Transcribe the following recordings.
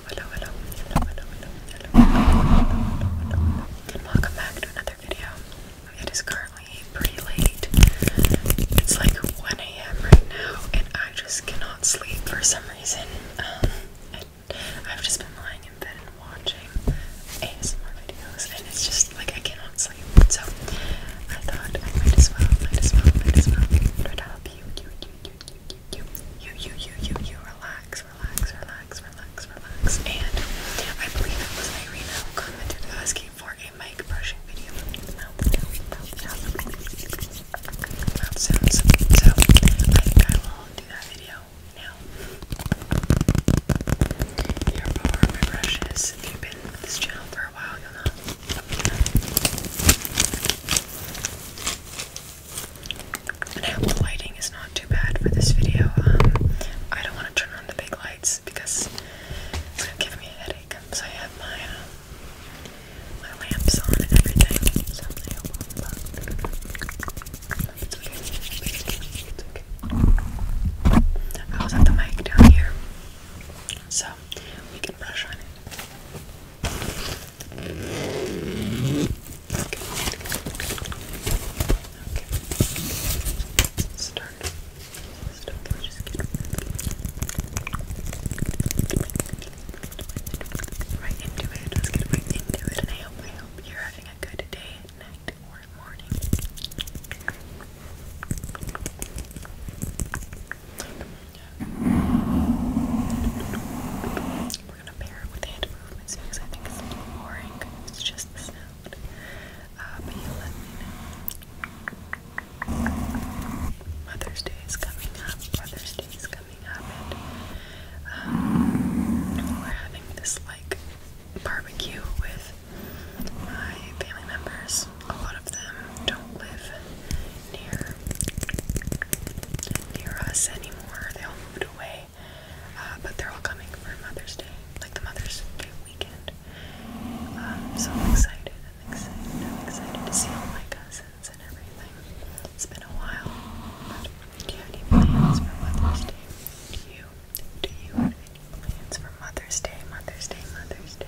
hello, hello, hello, hello, hello, hello, hello, and welcome back to another video. It is currently pretty late. It's like 1 a.m. right now, and I just cannot sleep for some reason. Um, I've just been lying in bed and watching ASMR videos, and it's just like I cannot sleep. So I thought I might as well, might as well, might as well try to help you, you, you, you, you, you relax, relax, relax, relax, relax. And I believe it was Irina who commented asking for a mic brushing video. Mouth, mouth, sounds. So I think I will do that video now. Here are my brushes. If you've been with this channel for a while, you'll know. I hope the lighting is not too bad for this video. Um, I don't want to turn on the big lights because it's going to give me a headache. So I have my, uh, my lamps on and everything. Oh, I hope i the mic down here. So we can brush on it. Start. Start. Just get right into it. Let's get right into it. And I hope, I hope you're having a good day, night, or morning gonna pair it with hand movements because I think it's boring. It's just the uh, Mother's Day is coming up. Mother's Day is coming up, and um, we're having this like barbecue with my family members. A lot of them don't live near near us anymore. They all moved away, uh, but they're all coming for Mother's Day, like the Mother's Day weekend. Um, so I'm excited. I'm excited. I'm excited to see all my cousins and everything. It's been a while. But do you have any plans for Mother's Day? Do you? Do you have any plans for Mother's Day? Mother's Day. Mother's Day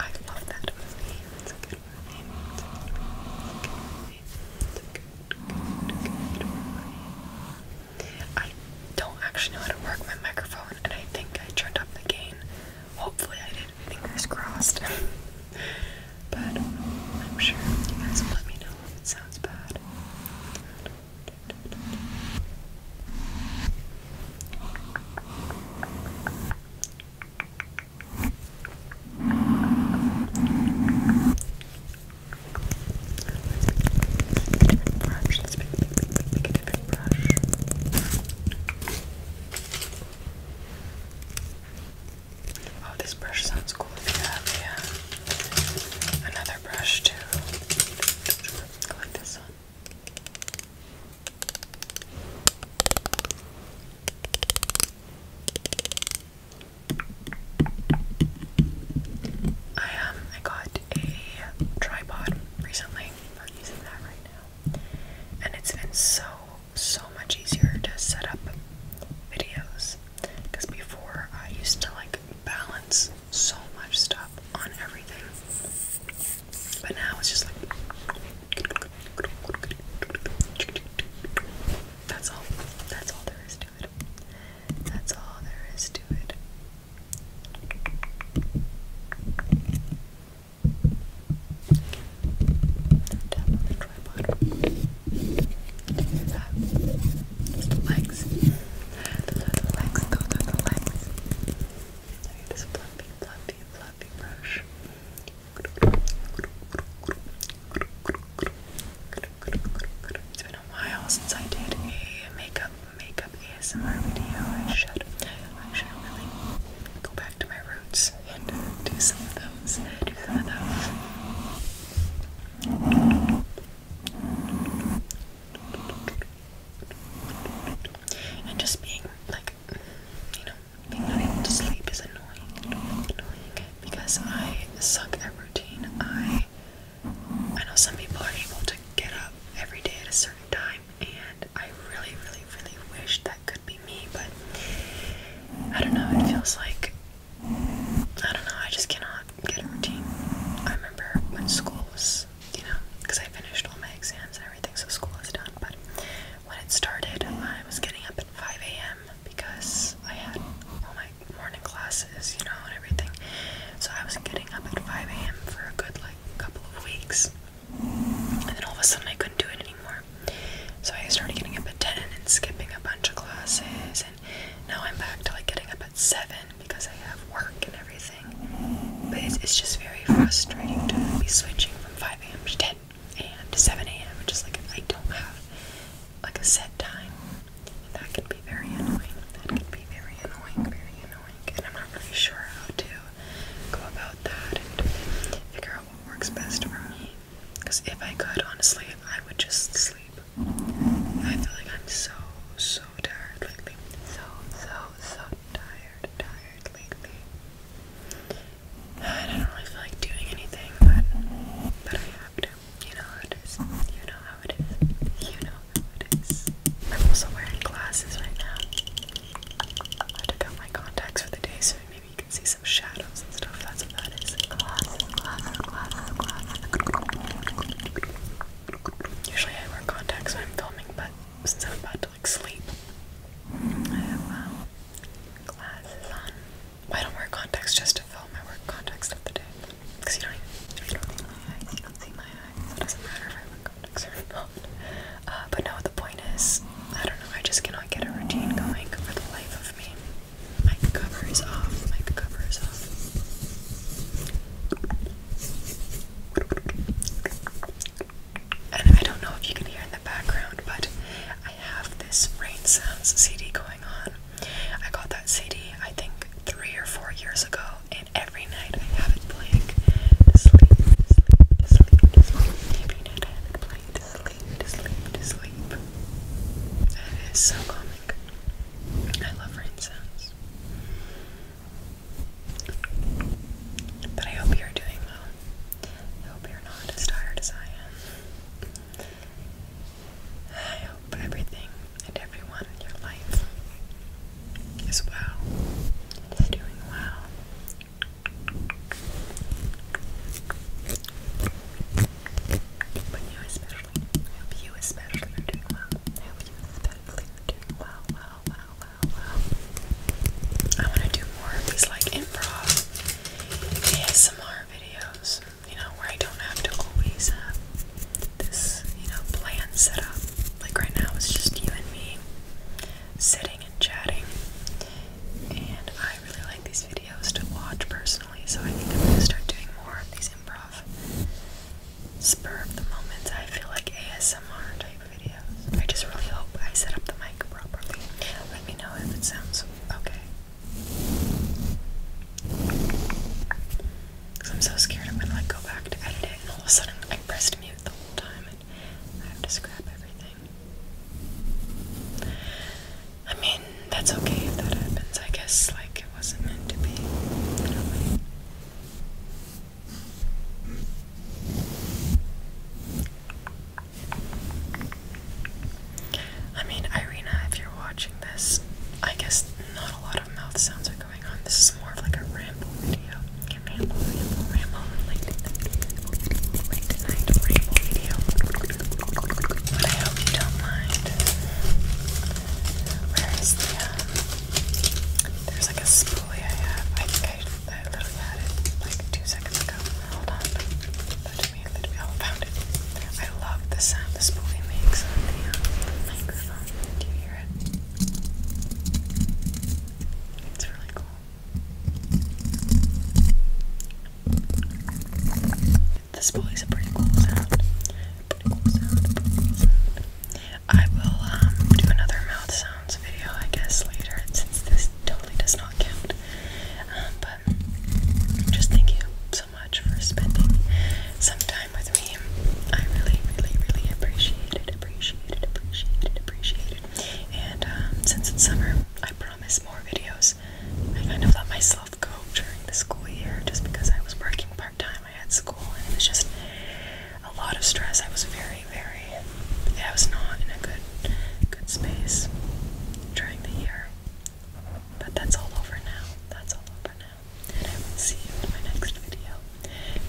I love that movie. It's a good movie. It's a good good good, good, movie. I don't actually know how to work my microphone, and I think I turned up the gain. Hopefully, I did. Fingers crossed. but I'm sure you guys let me know if it sounds bad. Let's pick a different brush. Let's pick, pick, pick, pick, pick a different brush. Oh, this brush sounds cool if you have yeah. another brush too. Go like this one. I um I got a tripod recently. I'm using that right now. And it's been so so much easier to set up videos because before I used to like balance so much stuff on everything. But now it's just like that's all. That's all there is to it. That's all there is to it. legs. the legs. Those the legs. I need this fluffy, fluffy, fluffy brush. It's been a while since I did a makeup makeup ASMR video. I should I should really go back to my roots and uh, do some of those. Do some of those. And just being like, you know, being not able to sleep is annoying, annoying, annoying because I suck at routine. I I know some people are able to get up every day at a certain time and I really, really, really wish that could be me, but I don't know, it feels like I don't know, I just cannot get a routine. I remember when school was, you know, because I finished all my exams and everything, so school is done, but when it started, I was getting up at 5 a.m. because I had all my morning classes, you know, and everything. So I was getting up at 5 a.m. for a good, like, couple of weeks. And then all of a sudden I couldn't do it anymore. So I started getting up at 10 and skipping a bunch of classes. And now I'm back to, like, getting up at 7 because I have work and everything. But it's, it's just very frustrating to be switching from 10 a.m. to 7 a.m. Just like I don't have like a set time. that can be very annoying. That can be very annoying, very annoying. And I'm not really sure how to go about that and figure out what works best for me. Because if I could, honestly, I would just sleep. I feel like I'm so, so tired lately. So, so, so tired, tired lately. I don't really feel like doing anything, but but I have to. You know how it is. You know how it is. You know how it is. I'm also wearing glasses right now. I took out my contacts for the day, so maybe you can see some shadows and stuff. That's what that is. Usually I wear contacts when I'm filming, but since I'm about like sleep. Um, glasses on. Well, don't wear contacts just to film. I wear contacts of because you don't even, see my eyes. You don't see my eyes. it doesn't matter if I wear contacts or not. Uh, but no, the point is, I don't know. I just cannot get a routine going for the life of me. My cover is off. My cover is off. And I don't know if you can hear in the background, but I have this Rain Sounds CD going on. I got that CD, I think, three or four years ago, and every night I have it playing sleep, sleep, sleep, sleep. sleep, sleep, sleep. And so calming. I love Rain Sounds. But I hope you're doing well. I hope you're not as tired as I am. I hope everything and everyone in your life is well is doing well. But you especially, I hope you especially are doing well. I hope you especially are doing well, well, well, well wow, wow. I want to do more of these like improv ASMR videos, you know, where I don't have to always have this, you know, plan set up. Like right now, it's just you and me sitting and chatting. And I really like these videos to watch personally, so I think I'm gonna start doing more of these improv spur of the moment. I feel like ASMR type I just really hope I set up the mic properly. Let me know if it sounds okay. Cause I'm so scared I'm gonna like go back to edit it and all of a sudden I pressed mute the whole time and I have to scrap everything. I mean, that's okay if that happens. I guess like it wasn't meant to be. You I mean, Irina, if you're watching this, I guess not a lot of mouth sounds are going on. This is more of like a ramble video. Like ramble, ramble, ramble, ramble video. But I hope you don't mind. there's like a spoolie I have. I, literally had it like two seconds ago. Hold on. Let me, let me, oh, found I love the sound the spoolie makes Do you hear it? It's really cool. This boy is a pretty cool sound. Pretty cool sound. Pretty cool sound. I will um, do another mouth sounds video, I guess, later since this totally does not count. Um, but just thank you so much for spending some time with me. I really, really, really appreciated, appreciated, appreciated, appreciated. And um, since it's summer, I promise more videos. I kind of let myself go during the school year just because I was working part time. I school, and it was just a lot of stress. I was very, very, I was not in a good, good space during the year. But that's all over now. That's all over now. And I will see you in my next video.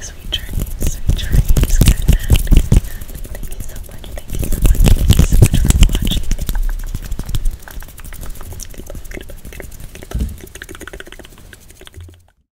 Sweet dreams, sweet dreams. Good night, good night. Thank you so much. Thank you so much. Thank you so much for watching.